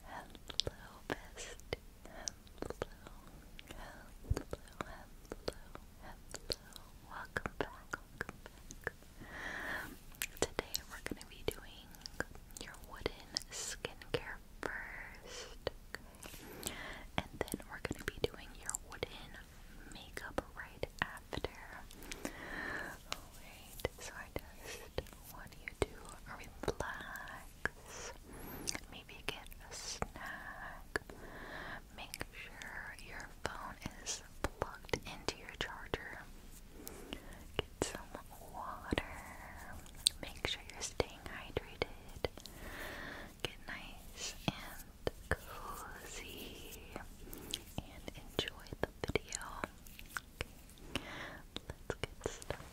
Hello, bestie. Hello. Hello, hello, hello. Welcome back, Today we're going to be doing your wooden skincare first. And then we're going to be doing your wooden makeup right after. Alright, so just want you to relax. Maybe get a snack. Make sure your phone is plugged into your charger. Get some water. Make sure you're staying hydrated. Get nice and cozy and enjoy the video. Okay, let's get started.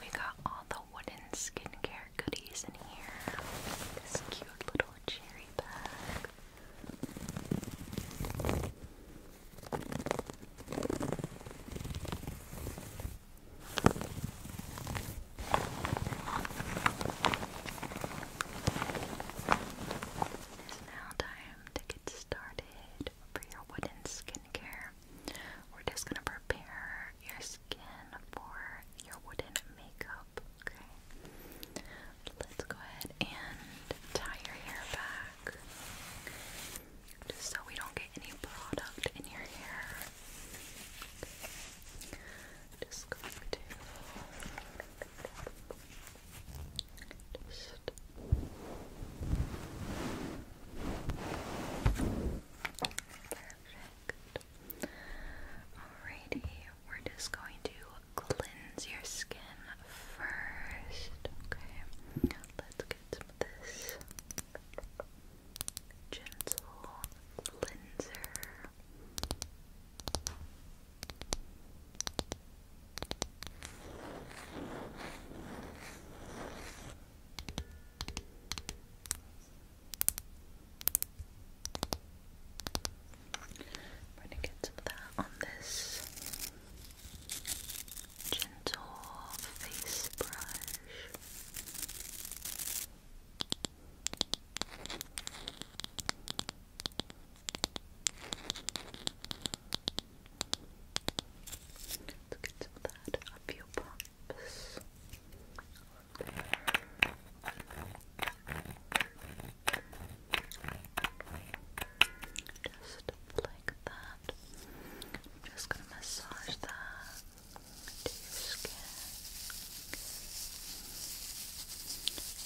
We got all the wooden skincare goodies in here. This cute little cherry bag. It is now time to get started for your wooden skincare. We're just gonna prepare your skin for your wooden makeup. Okay. Let's go ahead and tie your hair back. Just so we don't get any product in your hair. Just going to perfect. Alrighty, we're just going to cleanse your skin first. Okay, let's get some of this gentle cleanser. I'm going to get some that on this gentle face brush let get some of that up your pumps. Just like that. I'm just gonna massage that to your skin.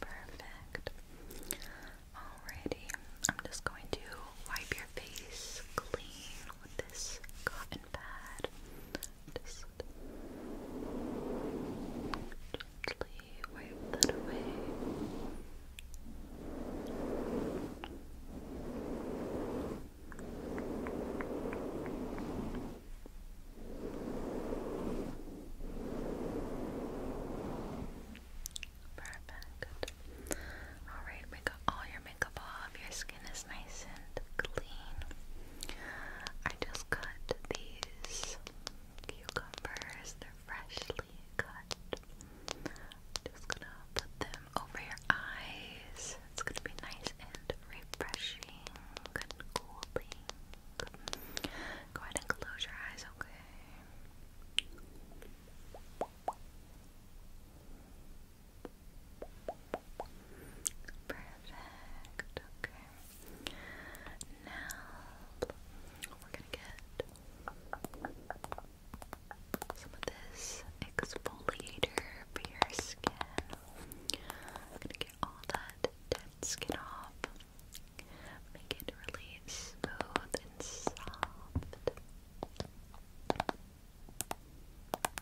Perfect. Alrighty, I'm just going to wipe your face clean with this cotton pad just gently wipe that away. Perfect. Alright, we got all your makeup your skin is nice and clean. I just cut these cucumbers, they're freshly cut. Just gonna put them over your eyes. It's gonna be nice and refreshing and cooling. Go ahead and close your eyes, okay? Perfect. Okay. Now we're gonna get some of this exfoliator for your skin. gonna get all that dead skin off. Make it really smooth and soft.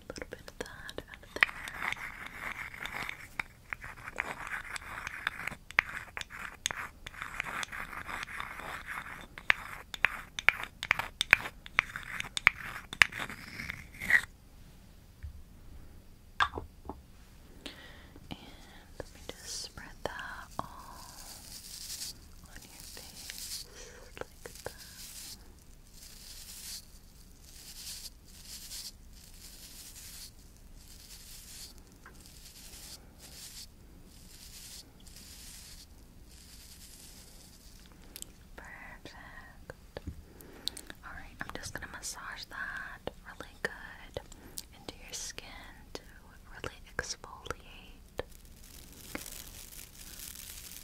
a little bit of And let me just spread that all on your face like that. Perfect. Alright, I'm just going to massage that really good into your skin to really exfoliate.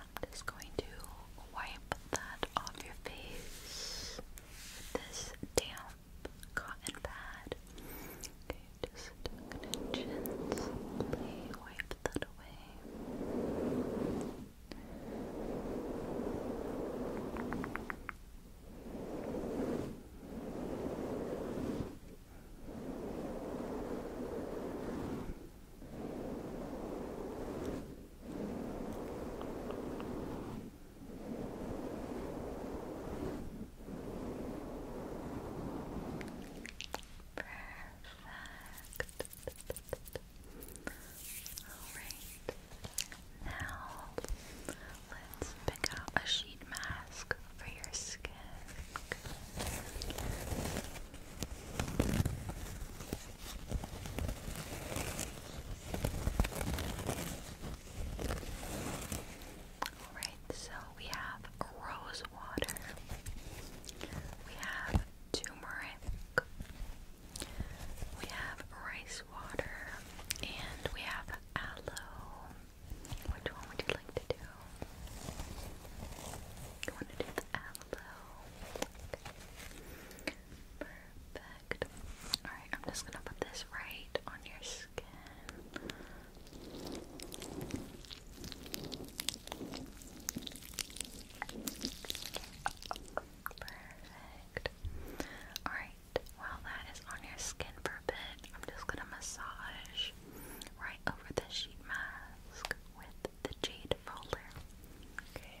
I'm just going to wipe that off your face with this damp cotton pad. Okay, just gently wipe that away. Alright. Now let's pick out a sheet mask for your skin. Alright, so we have rose water, we have turmeric, we have rice water, and we have aloe. Which one would you like to do? You want to do the aloe? Perfect. Alright, I'm just gonna put this right on your skin. Perfect. Alright, while that is on your skin for a bit, I'm just gonna massage right over the sheet mask with the jade roller. Okay.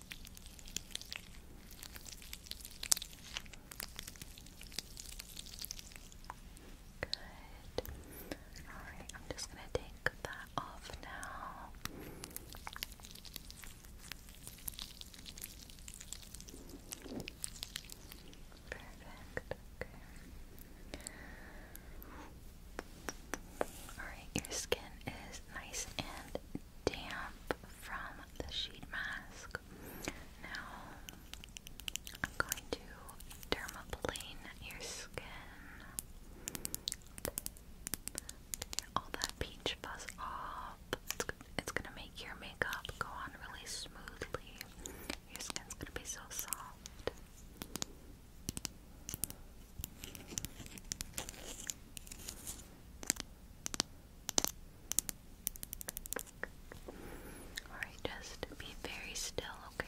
Good. Alright, I'm just going to take that off now. Perfect. Alright, your skin is nice and damp from the sheet mask. Now I'm going to dermaplane your skin. all that peach fuzz off. it's gonna make your makeup go on really smoothly. Your skin's gonna be so soft. Alright, just be very still, okay?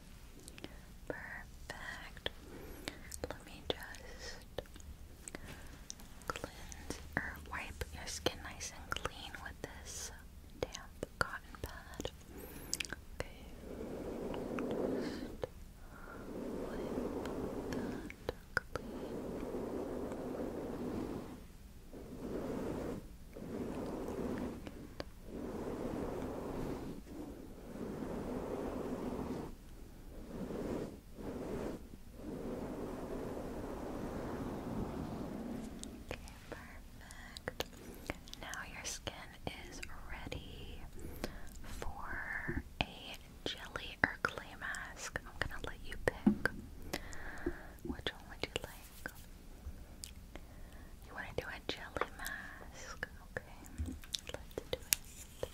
Perfect. Let me just cleanse or wipe your skin nice and clean with this damp cotton pad. Okay perfect. Now your skin is ready for a jelly or clay mask. I'm gonna let you pick. Which one would you like? like. You want to do a jelly mask? Okay, let's do it.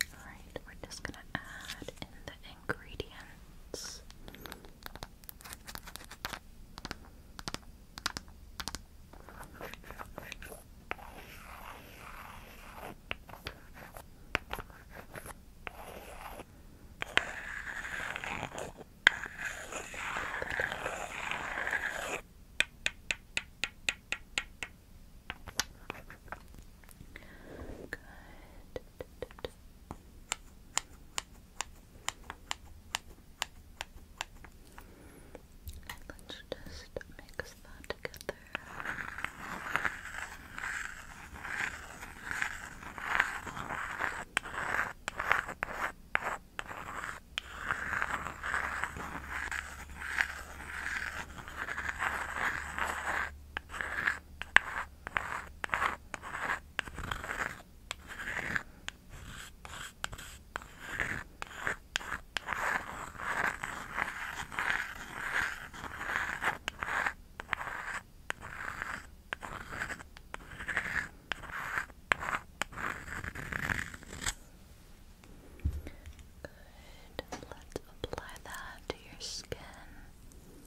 All right, we're just going to add in the ingredients. Good. And let's just mix that together. Good. Let's apply that to your skin.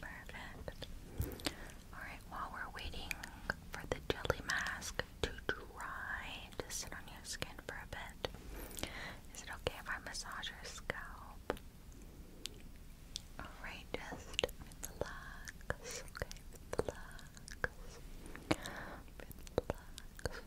Perfect. Alright, while we're waiting for the jelly mask to dry, to sit on your skin for a bit, is it okay if I massage your scalp? Alright, just relax, okay? Relax. Relax. Relax. Relax.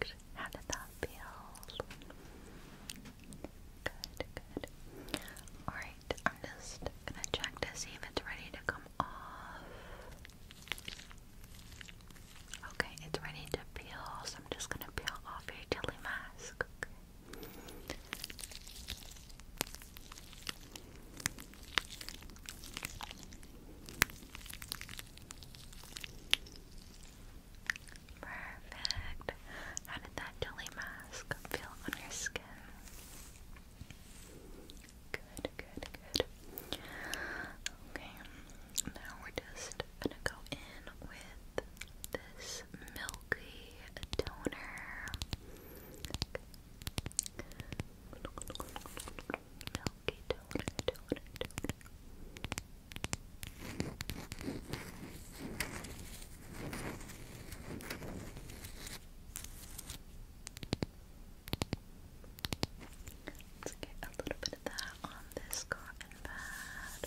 Perfect. How did that feel? Good, good. Alright, I'm just gonna check to see if it's ready to come off. Okay, it's ready to peel, so I'm just gonna peel off your jelly mask. Perfect. How did that jelly mask feel on your skin? Good, good, good. Okay, now we're just gonna go in with this milky toner. Milky donut, Let's get a little bit of that on this cotton pad.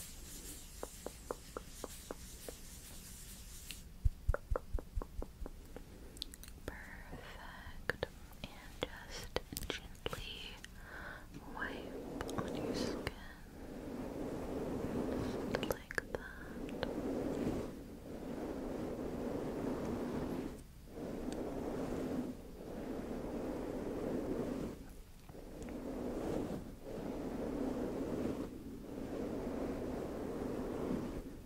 Perfect. And just gently wipe on your skin. like that.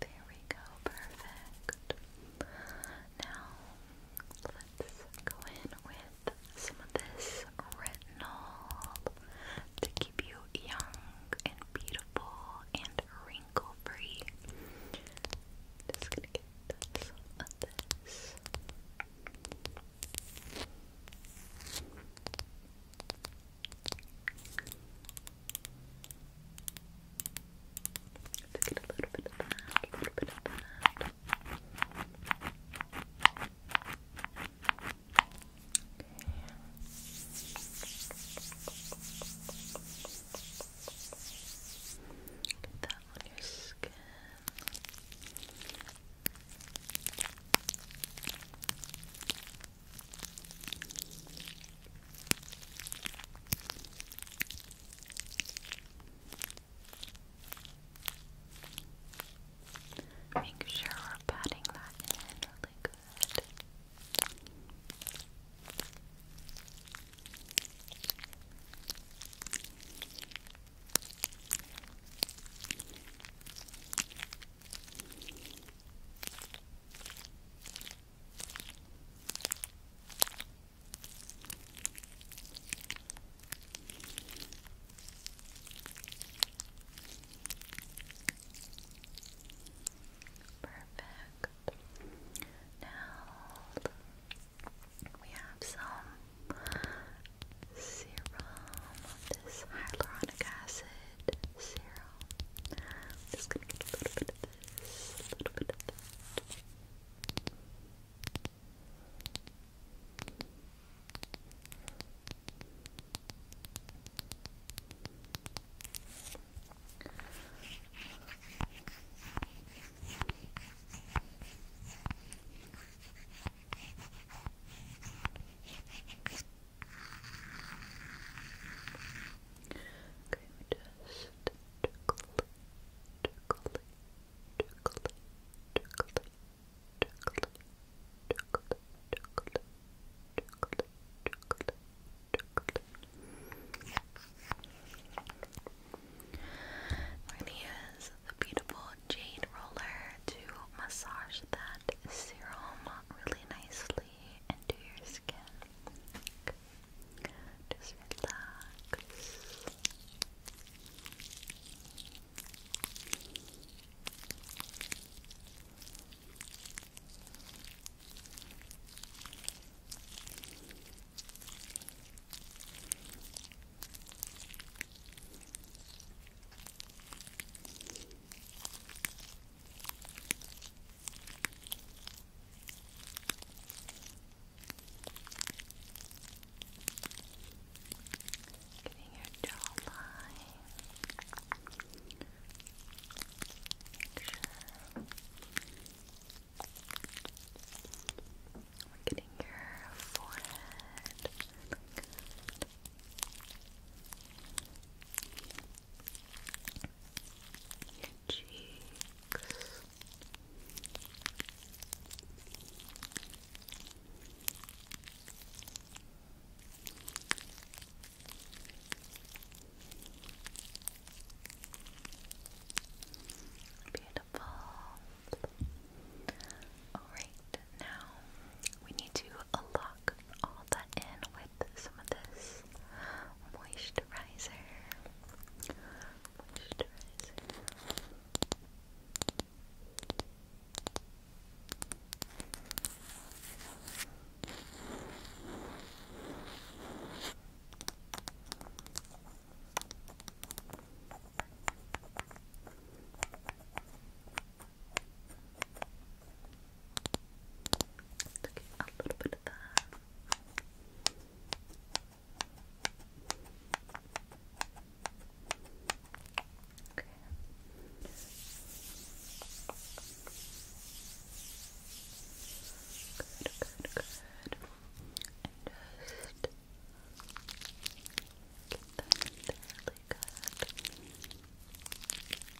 There we go, perfect. Now, let's go in with some of this retinol to keep you young and beautiful and wrinkle free. Just gonna get some of this. Let's a little bit of that, a little bit of that. Get that on your skin. Make sure we're patting that in really good. Perfect. Now we have some serum this hyaluronic acid serum. just gonna get a little bit of this, a little bit of that. Okay, just tickle, tickle, tickle, tickle, tickle, tickle, tickle, tickle, tickle, tickle. Really is the beautiful jade roller to massage that serum really nicely into your skin. Just relax. Getting your jawline. Make sure we're getting your forehead. Like your cheeks. Beautiful. All right, now we need to lock soak all that in with some of this moisturizer. Moisturizer. Okay. Let's a little bit of that. Good, good, good. just Get that in there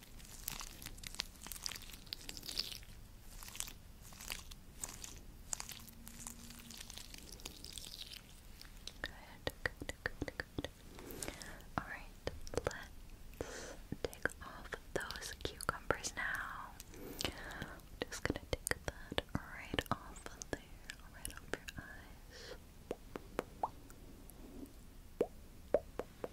good, good, Alright, let's take off those cucumbers now. just gonna take that right off of there, right off your eyes. Good.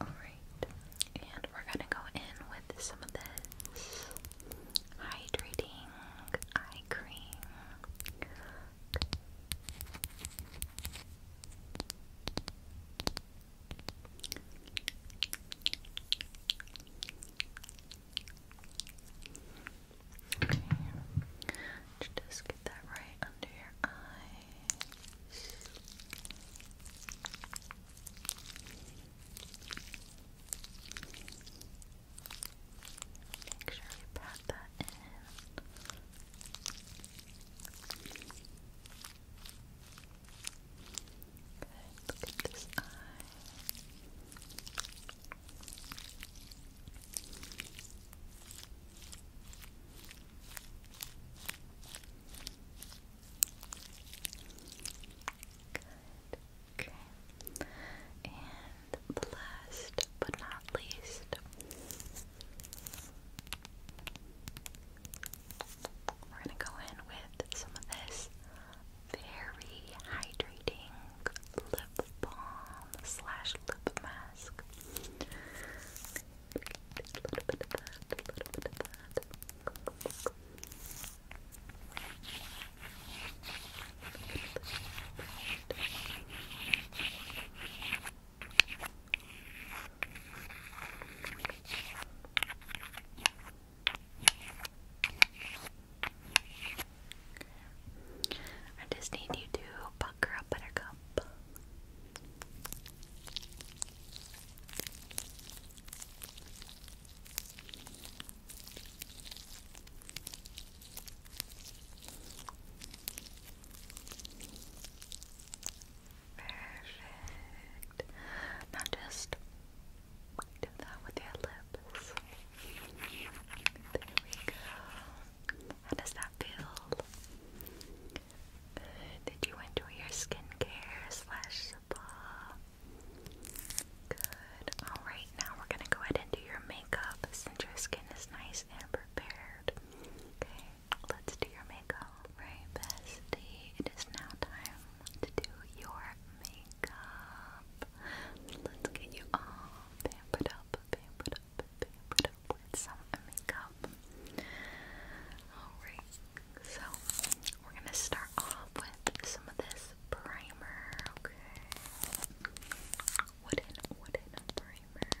Alright. And we're gonna go in with some of this hydrating eye cream. Just get that right under your eyes. Make sure you pat that in. Okay, look at this eye. Good. Okay. And last but not least. We're going to go in with some of this very hydrating lip balm slash lip mask. A little bit of that, a little bit of that. I just need you to pucker up buttercup. Perfect. Now just do that with your lips. There we go. How does that feel? Good. Did you enjoy your skincare slash spa? Good. Alright, now we're gonna go ahead and do your makeup since your skin is nice and prepared. Okay, let's do your makeup. Right, bestie. It is now time to do your makeup. Let's get you all pampered up, pampered up, pampered up with some makeup. Alright, so we're gonna start off with some of this primer, okay? Wooden, wooden primer.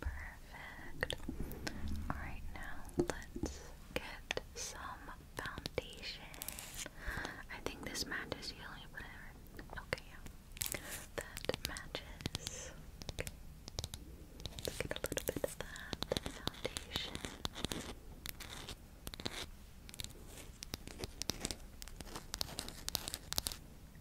Perfect. Alright, now let's get some foundation. I think this matches yellow, whatever. Okay, yeah. That matches. Let's get a little bit of that foundation. To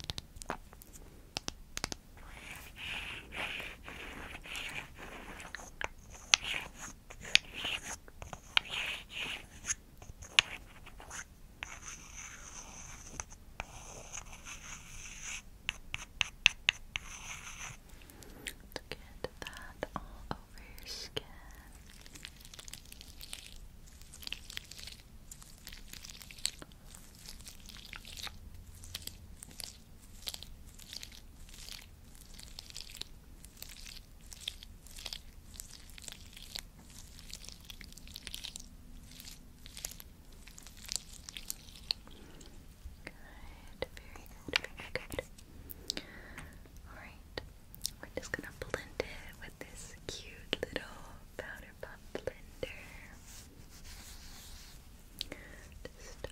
get that all over your skin. Good. Good, very good, very good. Alright, we're just gonna blend it with this cute little powder puff blender. Just that.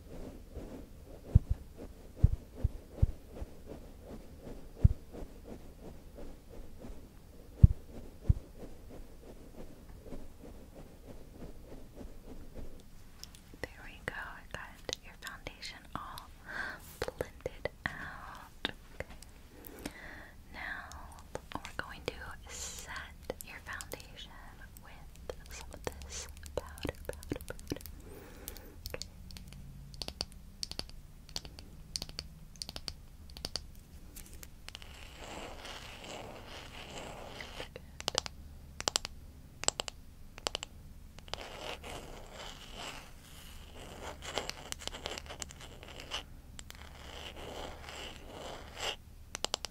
There we go. got your foundation all blended out. Okay. Now we're going to set your foundation them with some of this powder, powder, powder. Pat that in.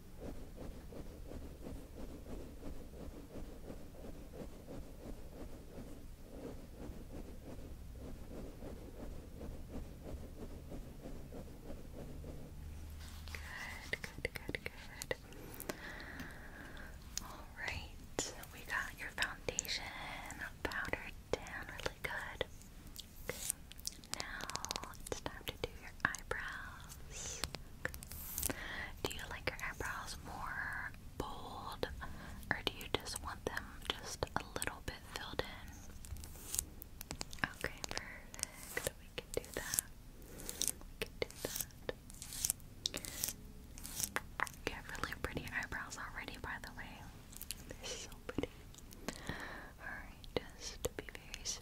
Good, good, good, good. Alright, we got your foundation powdered down really good. Now it's time to do your eyebrows. Do you like your eyebrows more bold, or do you just want them just a little bit filled in? Okay, perfect. We can do that. We can do that. You have really pretty eyebrows already, by the way. They're so pretty. Alright, just be very still.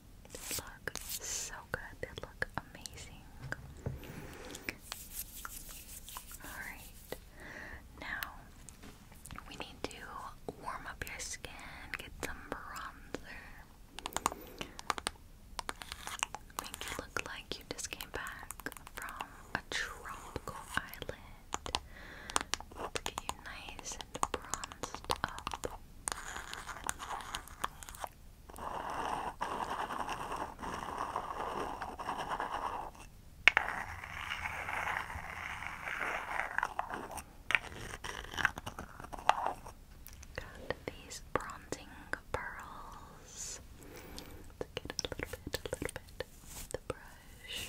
They look so good. They look amazing. Alright. Now we need to warm up your skin, get some bronzer. Make you look like you just came back from a tropical island. To get you nice and bronzed up. Got these bronzing pearls. let get a little bit, a little bit the brush.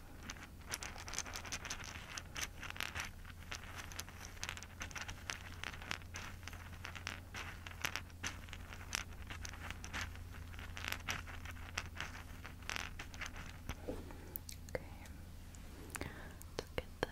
Okay. Look at that. There.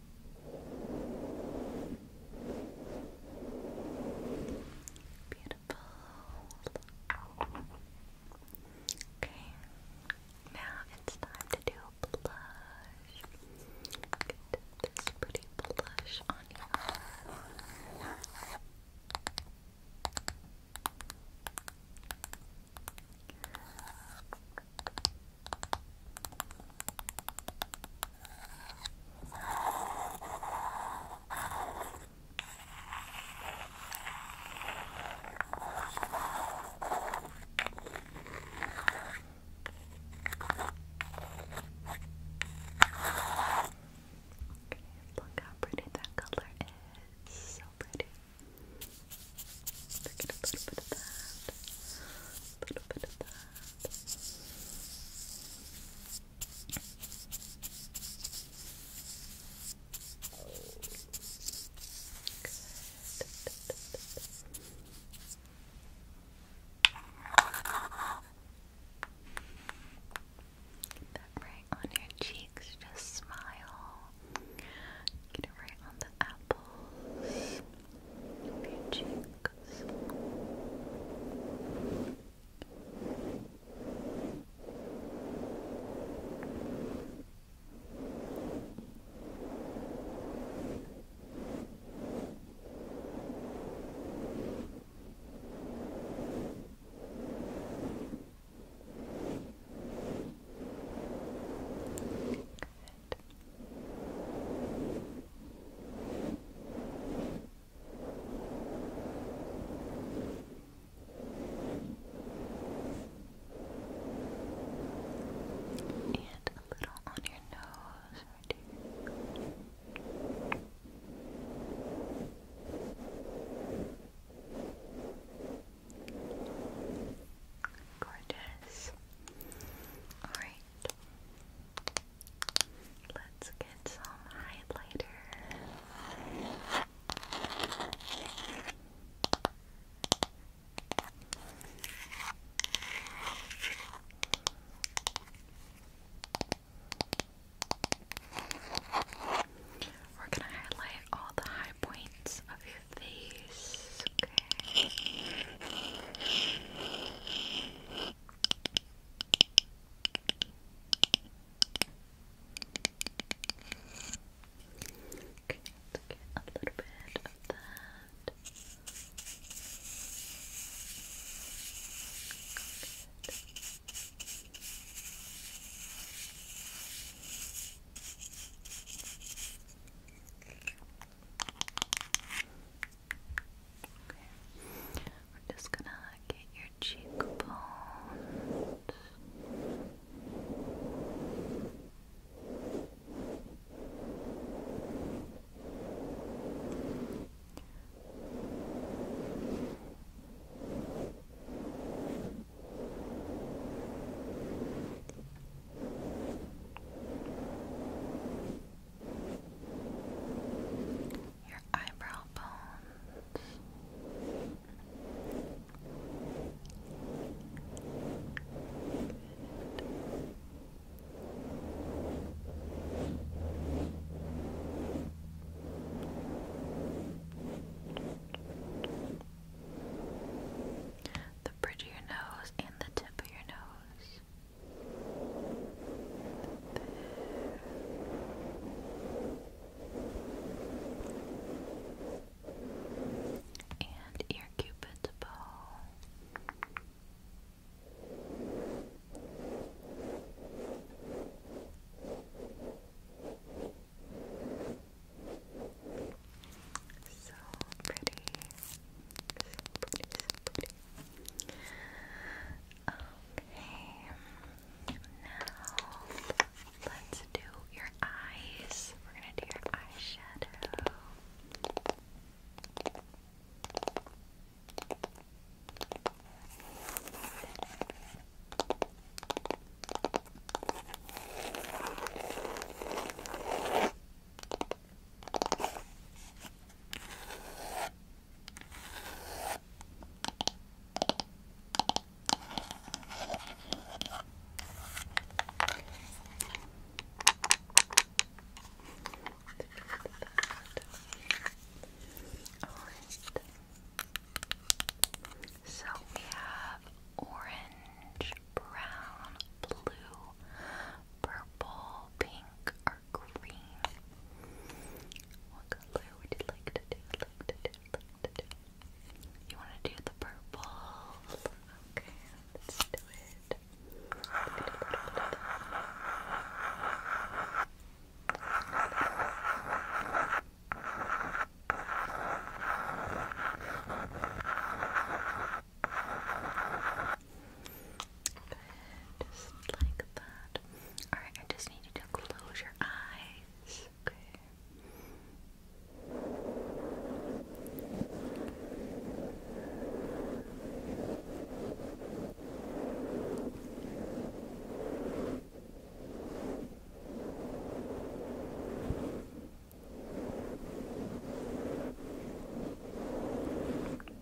Beautiful. Okay, now it's time to do blush. Get this pretty blush on you. Look how pretty that color is. So pretty. We're going bit of that. A little bit of that. That right on your cheeks, just smile. Get it right on the apples your cheek focus. Good. And a little on your nose, right here. Gorgeous. All right. Let's get some highlighter. We're going to highlight all the high points of your face. Okay. Okay, let get a little bit of that. Okay. We're just gonna get your cheekbones your eyebrow bones. The bridge of your nose and the tip of your nose. And ear cupid's ball. So pretty. Okay, now let's do your eyes. We're gonna do your eyeshadow. Okay. So we have orange, brown, blue, purple, pink, are green. What color would you like to do? You want to do the purple? Okay, let's do it. Good, just like that. Alright, I just need you to close your eyes. Okay.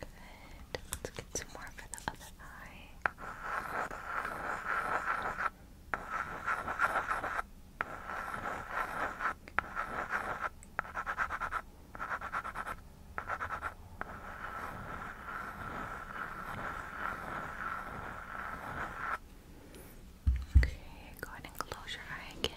Good. Let's get some more for the other eye. Okay, go ahead and close your eye again.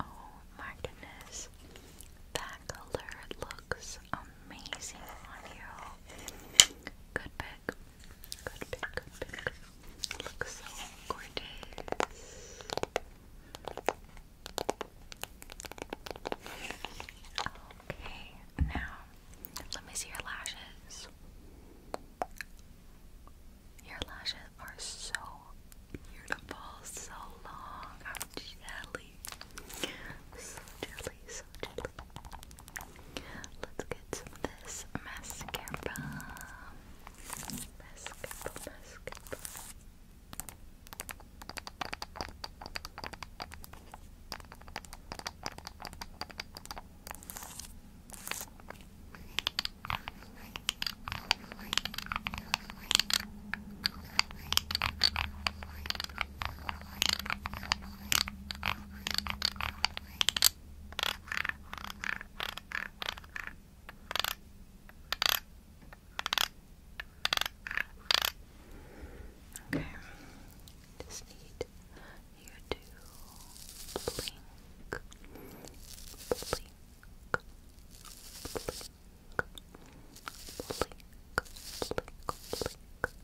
Oh my goodness, that color looks amazing on you. Good pick. Good pick, good pick. Looks so gorgeous. Okay, now let me see your lashes. Your lashes are so beautiful, so long. I'm So jelly, so gently. Let's get some this mascara. Mascara, mascara. Okay, just need you to blink, blink, blink, blink, blink, blink.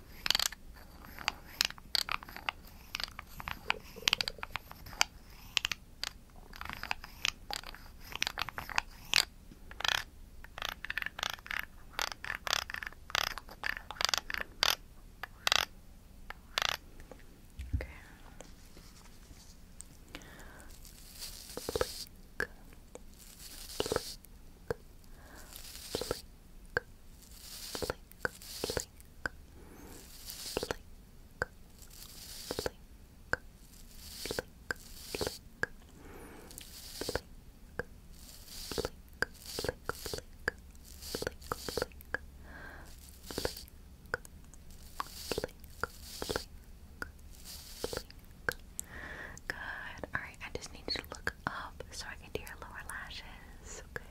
Okay. Blink. Blink blink, blink, Good. All I just need to look up so I can do your lower lashes. perfect.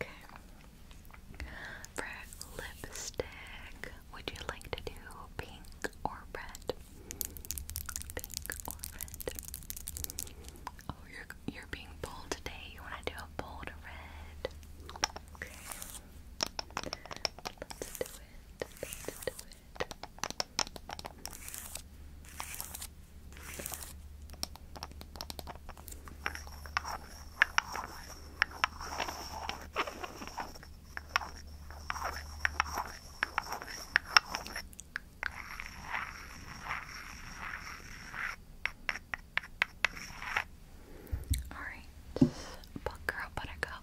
Okay. For lipstick, would you like to do pink or red? Pink or red? Oh, you're you're being bold today. You want to do bold red? Okay. Let's do it. Let's do it it. All right, buck girl, buttercup.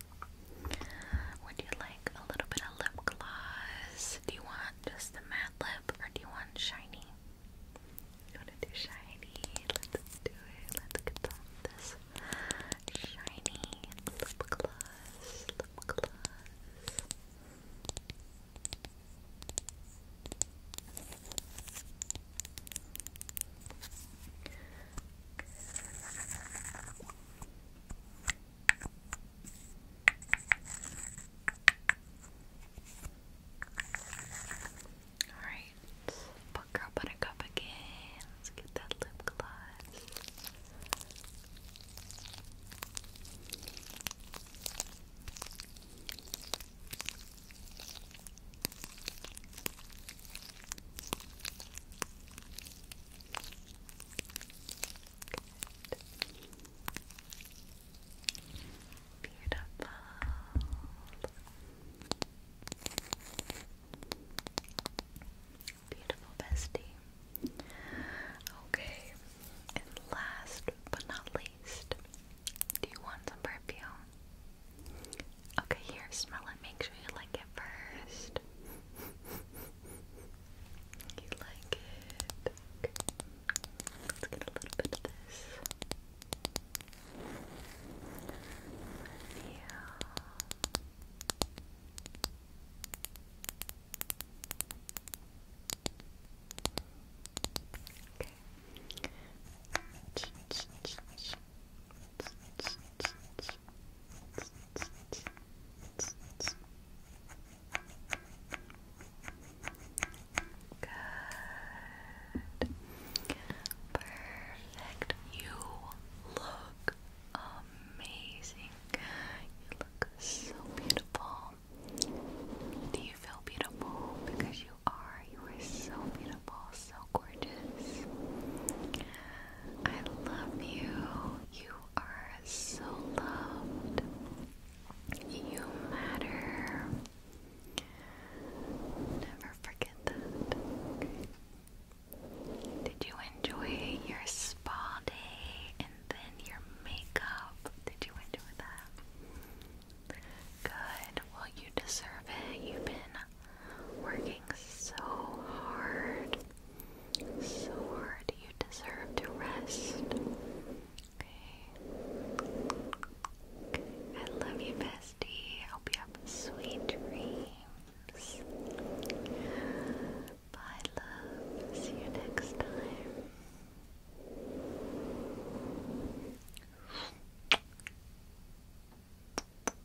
would you like a little bit of lip gloss? Do you want just the matte lip or do you want shiny? You want to do shiny? Let's do it. Let's get this shiny lip gloss. Lip gloss. Alright, put girl buttercup again. Let's get that lip gloss. Beautiful. Beautiful bestie. Okay, and last but not least, do you want some perfume? Okay, here, smell it. Make sure you like it first. you like it. Let's get a little bit of this. Yeah. Okay. Good. Perfect. You look amazing. You look so beautiful. Do you feel beautiful? Because you are. You are so beautiful, so gorgeous. I love you. You are so loved. You matter. Never forget that. Did you enjoy your spa day and then your makeup? Did you enjoy that? Good. Well, you deserve it. You've been working so hard. So hard. You deserve to rest. I love you, bestie. Hope you have sweet dreams. Bye, love. See you next time.